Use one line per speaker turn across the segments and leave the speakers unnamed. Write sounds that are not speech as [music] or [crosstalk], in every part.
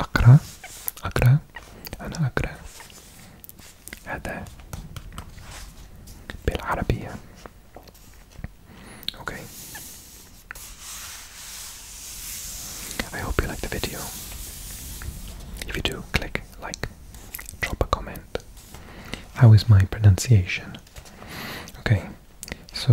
أقرأ أقرأ أنا أقرأ هذا بالعربية Okay. I hope you like the video. If you do, click like, drop a comment. How is my pronunciation? Okay, so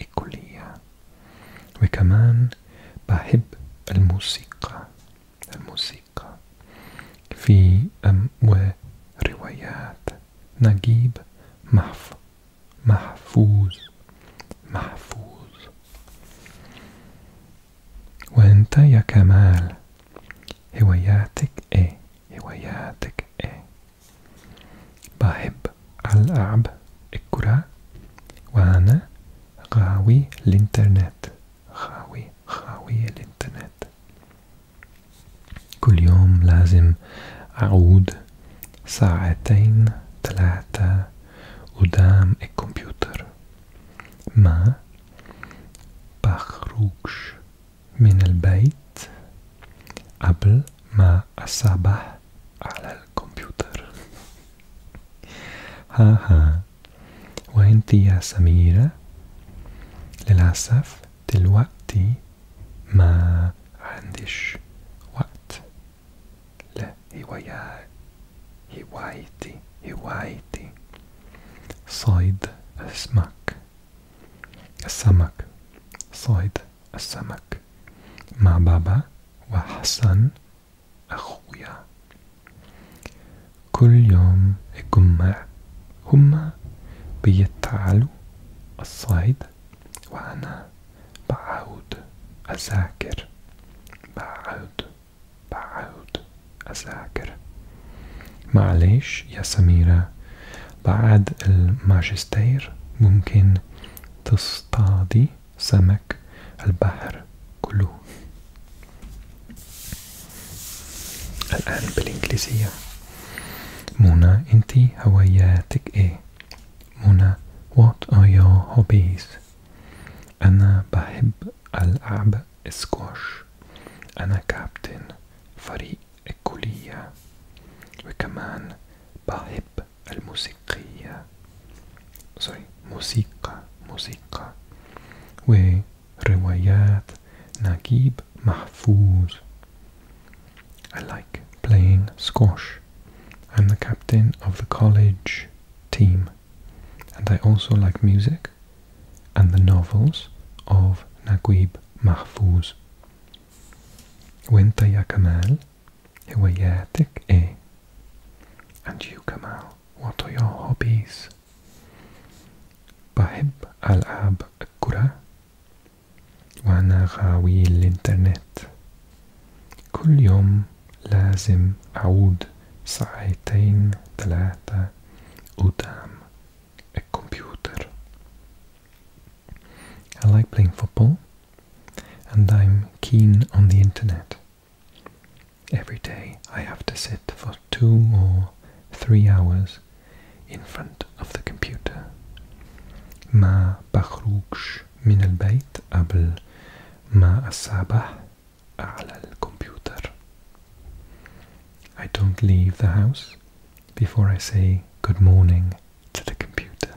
الكلية وكمان بحب الموسيقى الموسيقى في أم وروايات نجيب محف محفوظ محفوظ وانت يا كمال هواياتك ايه هواياتك ايه بحب ألعب الكرة وأنا غاوي الإنترنت غاوي غاوي الإنترنت كل يوم لازم أعود ساعتين ثلاثة قدام الكمبيوتر ما بخرجش من البيت قبل ما الصباح على الكمبيوتر [laughs] ها ها وانت يا سميرة للأسف دلوقتي ما عنديش وقت لهواية هوايتي هوايتي صيد السمك السمك صيد السمك مع بابا وحسن أخويا كل يوم الجمعة هما بيتعالوا الصيد وأنا بعود أذاكر بعود بعود أذاكر معليش يا سميرة بعد الماجستير ممكن تصطادي سمك البحر كله الآن بالإنجليزية منى أنت هواياتك إيه؟ منى What are your hobbies؟ أنا بحب ألعب سكواش أنا كابتن فريق الكلية وكمان بحب I like playing squash. I'm the captain of the college team and I also like music and the novels of Naguib Mahfouz. وانت يا كمال هواياتك ايه e e. and you كمان what are your hobbies بحب ألعب الكرة وأنا غاوي الإنترنت كل يوم لازم أعود ساعتين ثلاثة قدام الكمبيوتر I like playing football and I'm keen on the internet. Every day I have to sit for two or three hours in front of the computer. ما بخرجش من البيت قبل ما أصبح على الكمبيوتر. I don't leave the house before I say good morning to the computer.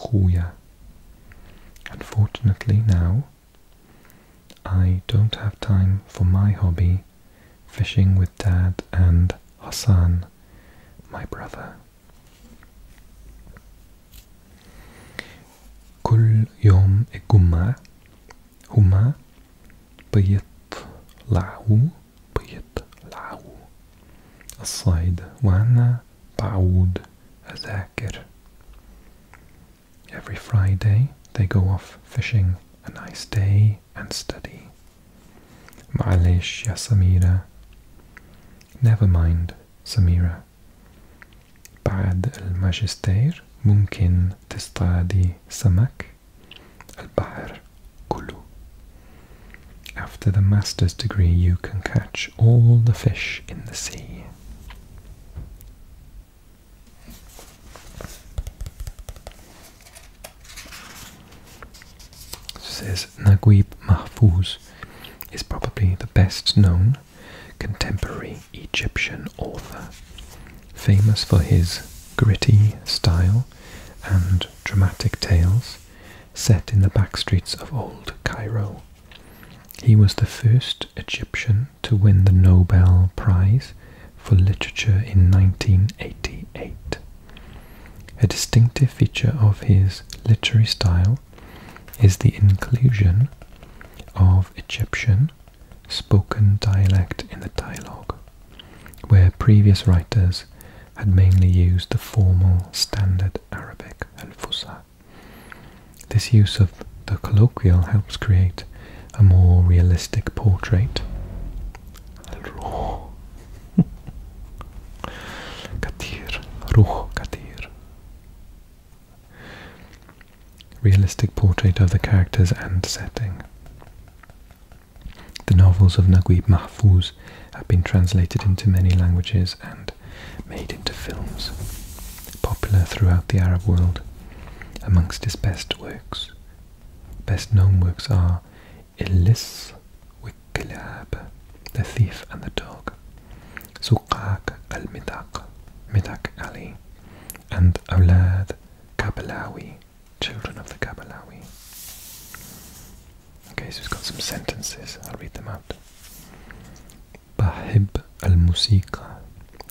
Julia. Unfortunately now, I don't have time for my hobby, fishing with Dad and Hassan, my brother. كل يوم الجمعة هما بيطلعوا بيطلعوا الصيد وأنا بعود أذاكر Hacker. Every Friday they go off fishing. A nice day and study. معليش Yasamira. Never mind, Samira. بعد الماجستير ممكن تصطادي سمك. البحر كله. After the master's degree, you can catch all the fish in the sea. Says Naguib Mahfouz is probably the best known contemporary Egyptian author, famous for his gritty style and dramatic tales set in the backstreets of old Cairo he was the first Egyptian to win the Nobel Prize for Literature in 1988. A distinctive feature of his literary style is the inclusion of Egyptian spoken dialect in the dialogue, where previous writers had mainly used the formal standard Arabic and fusah this use of the colloquial helps create a more realistic portrait. Ruh. [laughs] Katir. Ruh Katir. Realistic portrait of the characters and setting. The novels of Naguib Mahfouz have been translated into many languages and made into films, popular throughout the Arab world. Amongst his best works, best known works are Illis Wikilab, The Thief and the Dog, Suqaq al-Midaq, Midaq Ali, and Awlad Kabalawi, Children of the Kabalawi. Okay, so he's got some sentences. I'll read them out. بحب الموسيقى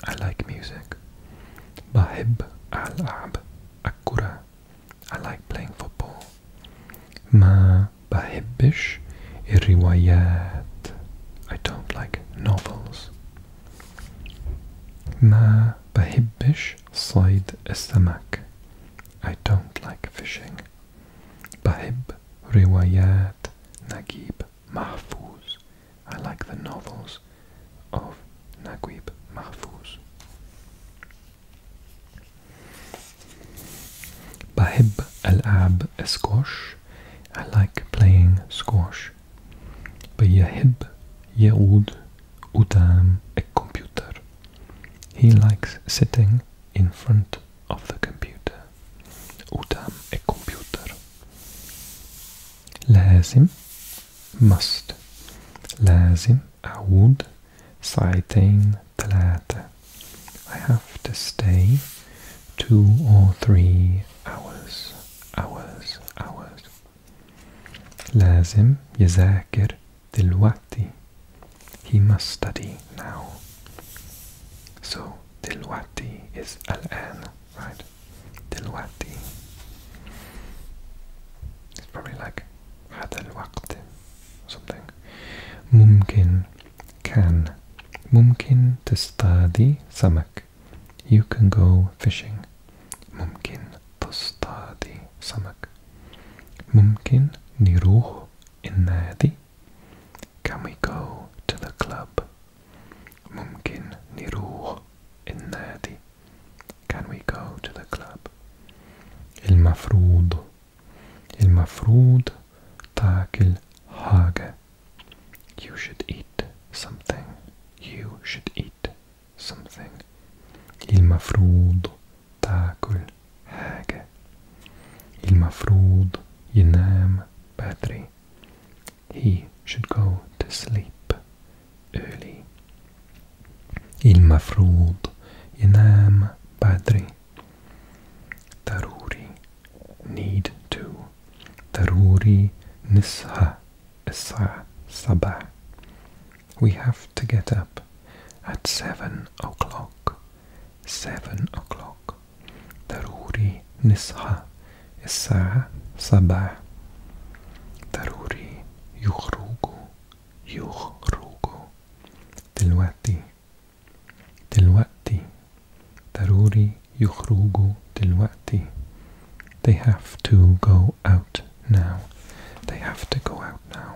I like music بحب ألعب الكرة I like playing football ما بحبش الروايات I don't like novels ما بحبش صيد السمك I don't like fishing بحب Riwayat Nagib Mahfouz. I like the novels of Nagib Mahfouz. Bahib Al-Ab Squash. I like playing squash. بيحب Udam قدام computer. He likes sitting in front of the computer utam e computer. لازم must لازم أعود ساعتين ثلاثة I have to stay two or three hours hours hours لازم يذاكر دلوقتي He must study now So دلوقتي is الآن right دلوقتي it's probably like هذا الوقت something ممكن can ممكن تصطادي سمك you can go fishing ممكن تصطادي سمك ممكن نروح النادي can we go to the club? ممكن نروح النادي. Can we go to the club? Il il mafrud takil hage. You should eat something. You should eat something. Il المفروض takil hage. الحياة المفروض ينام بدري He should go to sleep early المفروض ينام بدري ضروري need to ضروري نصحى الساعة صباح We have to get up at seven o'clock. Seven o'clock. ضروري نصحى الساعة صباح ضروري يخرجوا يخرجوا دلوقتي دلوقتي ضروري يخرجوا دلوقتي They have to go out now. They have to go out now.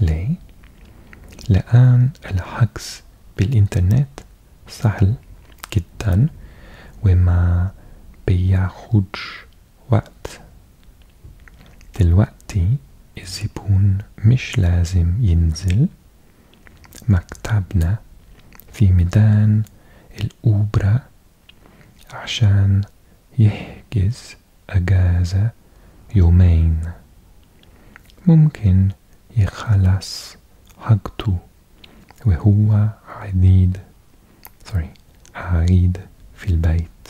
ليه؟ لأن الحجز بالإنترنت سهل جدا وما بياخدش وقت دلوقتي الزبون مش لازم ينزل مكتبنا في ميدان الأوبرا عشان يحجز أجازة يومين ممكن يخلص حقته وهو عديد سوري عريض في البيت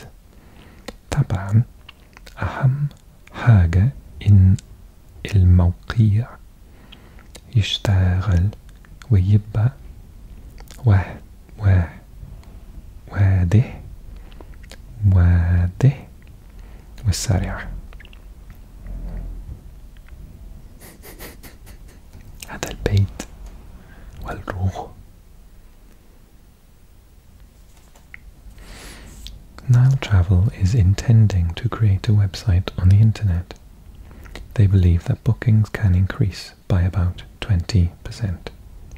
طبعا أهم حاجة إن الموقيع يشتغل ويبقى واحد where وادي وادي والسريع هذا البيت والروح Nile Travel is intending to create a website on the internet. They believe that bookings can increase by about 20%.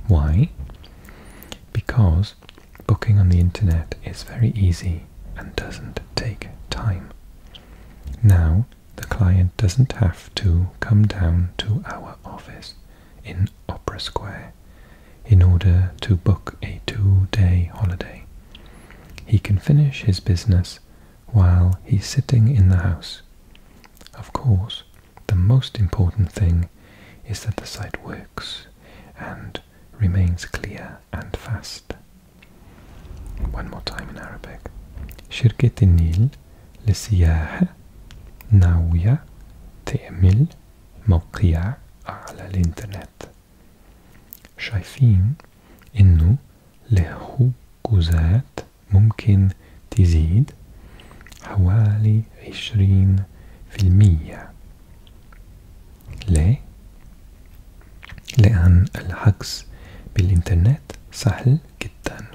Why? because booking on the internet is very easy and doesn't take time. Now, the client doesn't have to come down to our office in Opera Square in order to book a two-day holiday. He can finish his business while he's sitting in the house. Of course, the most important thing is that the site works and remains clear and fast. One more time in Arabic. شركة النيل للسياحة ناوية تعمل موقع على الإنترنت. شايفين إنه له جوزات ممكن تزيد حوالي عشرين في المية ليه؟ لأن الحجز بالإنترنت سهل جدا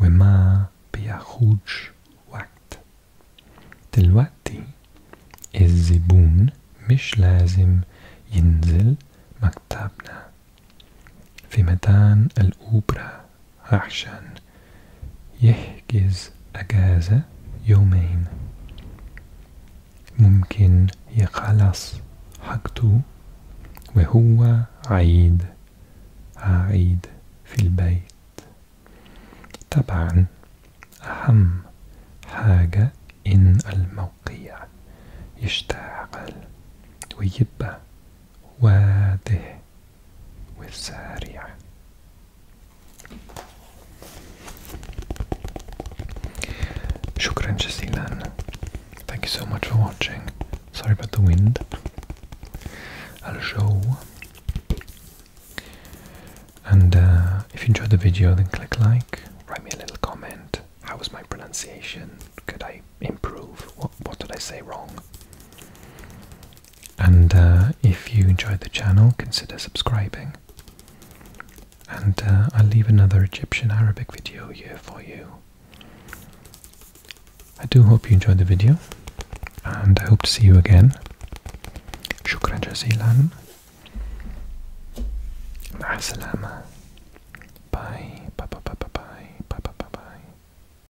وما بياخدش وقت دلوقتي الزبون مش لازم ينزل مكتبنا في ميدان الأوبرا عشان يحجز أجازة يومين ممكن يخلص حاجته وهو عيد عيد في البيت طبعا أهم حاجة إن الموقع يشتغل ويبقى واضح وسريع شكرا جزيلا Thank you so much for watching. Sorry about the wind. I'll show. And uh, if you enjoyed the video, then click like, write me a little comment. How was my pronunciation? Could I improve? What, what did I say wrong? And uh, if you enjoyed the channel, consider subscribing. And uh, I'll leave another Egyptian Arabic video here for you. I do hope you enjoyed the video, and I hope to see you again. Shukran jazilan. Ma'asalama. bye bye bye bye. Bye bye bye bye.